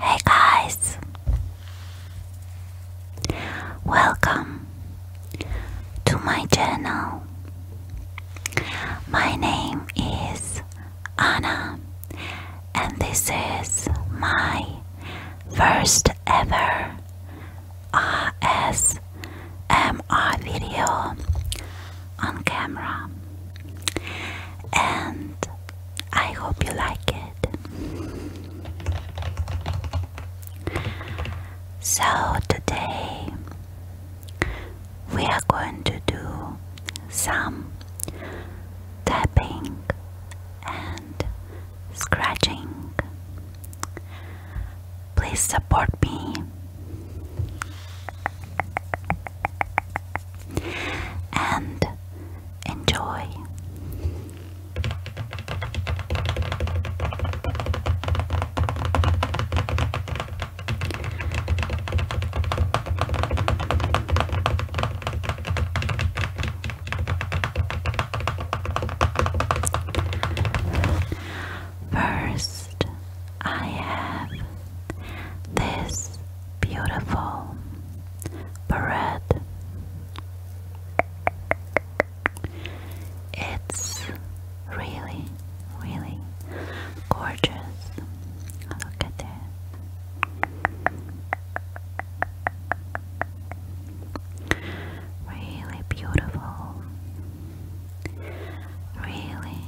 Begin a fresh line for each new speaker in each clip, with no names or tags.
Hey guys, welcome to my channel. My name is Anna, and this is my first ever RSMR video on camera. And I hope you like it. So, today we are going to do some tapping and scratching. Please support me and enjoy. First, I have this beautiful parade. It's really, really gorgeous. Look at it. Really beautiful really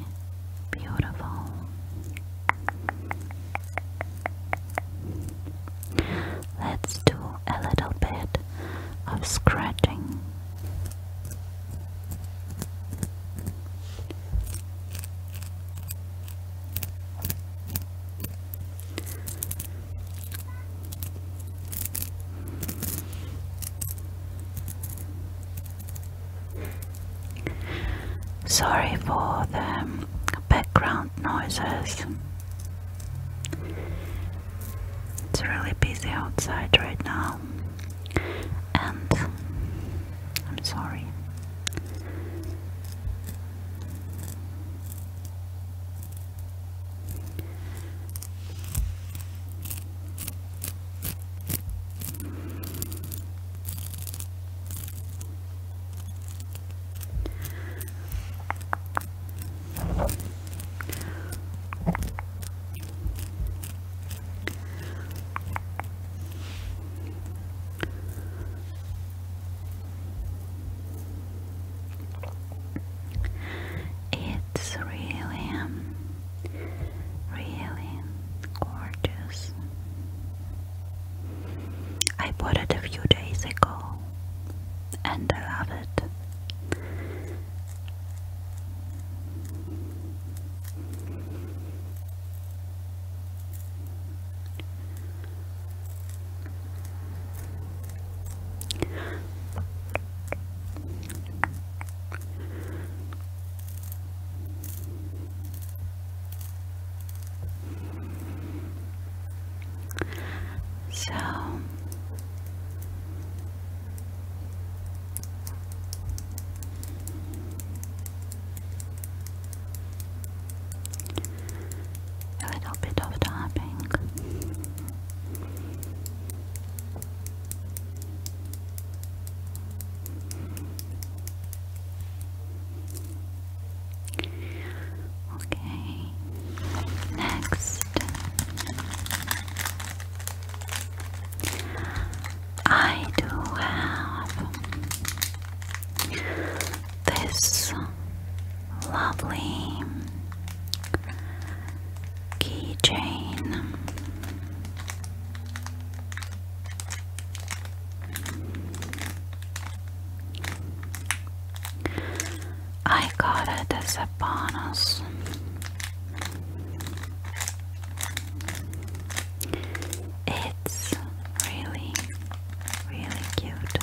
beautiful. Let's do a little bit of scratching. Sorry for the background noises. It's really busy outside right now, and I'm sorry. It's really um, Really gorgeous. I bought it a few days ago and I love it. So a little bit of tapping. Okay, next, I do have this lovely keychain. I got it as a bonus. It's really, really cute.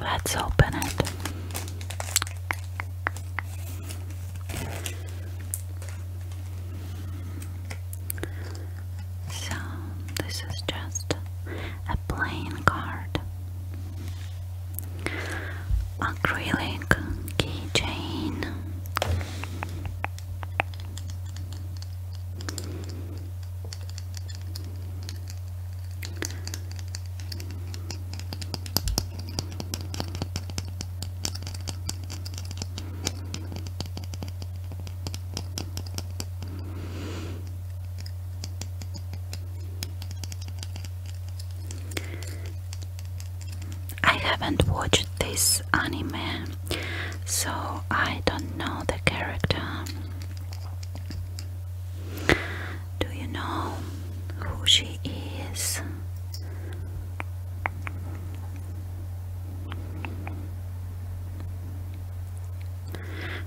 Let's open it. So, this is just a plain card. Acrylic keychain. I haven't watched this anime so I don't know the character. Do you know who she is?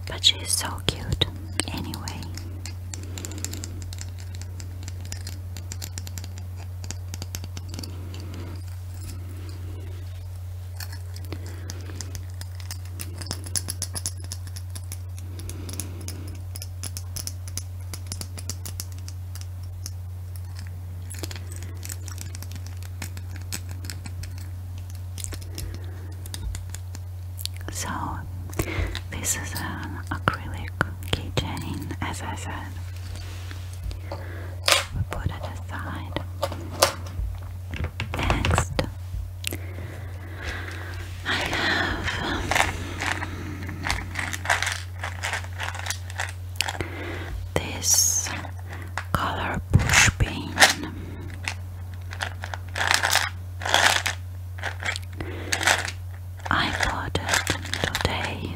But she is so cute anyway. So, this is an acrylic keychain, as I said we put it aside. Next, I have this color push pin. I bought it today.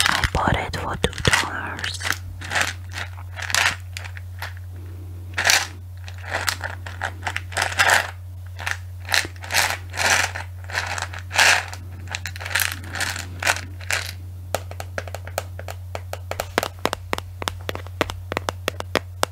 I bought it for two dollars.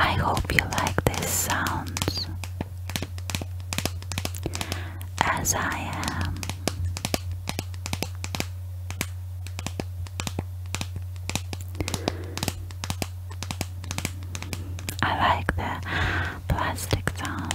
I hope you like this sounds as I am. I like the plastic sounds.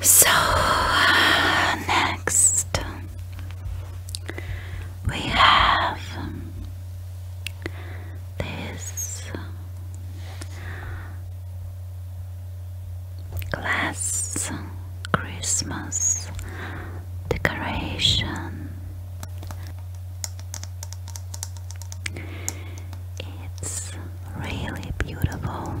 So, next we have this glass Christmas decoration. It's really beautiful.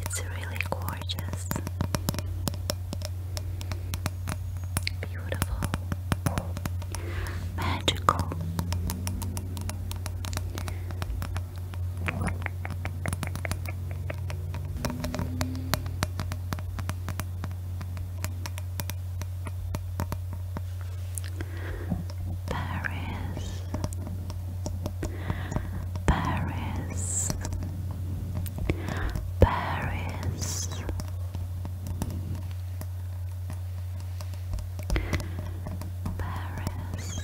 It's really gorgeous. Beautiful. Magical. Paris Paris, Paris, Paris, Paris.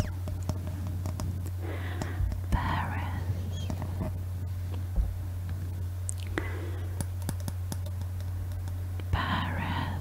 Paris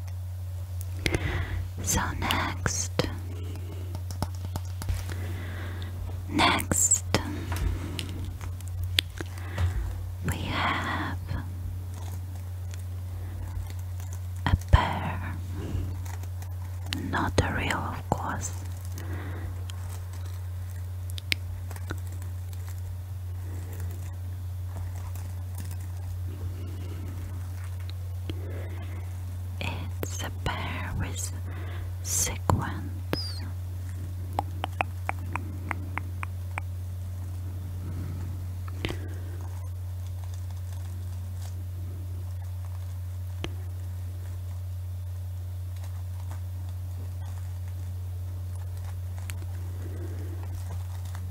So next, next we have a pear, not a real, of course. It's a pair with sequence.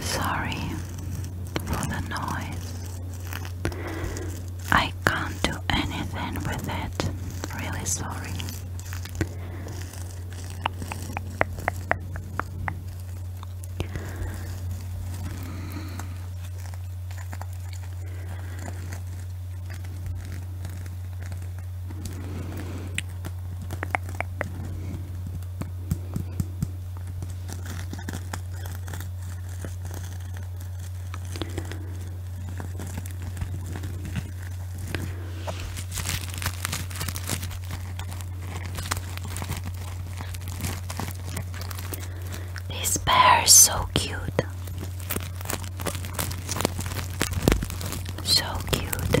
Sorry for the noise. I can't do anything with it. Really sorry. This bear is so cute. So cute.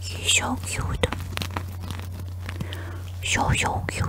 He's so cute. So, so cute.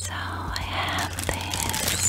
So I have this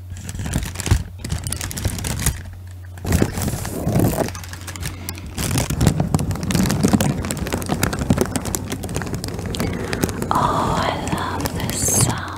Oh, I love this sound.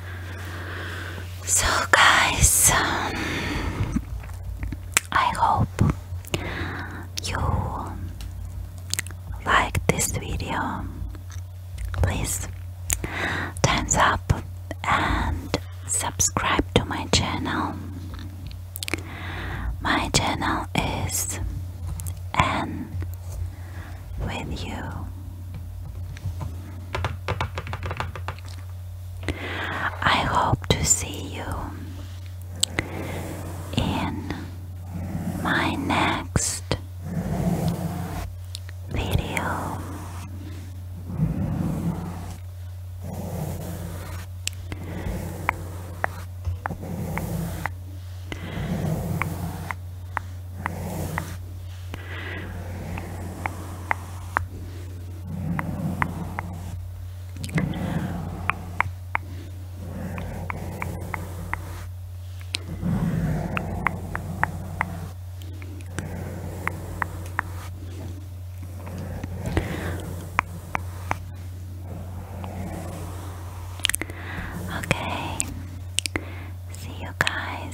So, guys, um, I hope you like this video. Please, thumbs up and subscribe to my channel. My channel is N with you. I hope to see you in my next video. Okay, see you guys.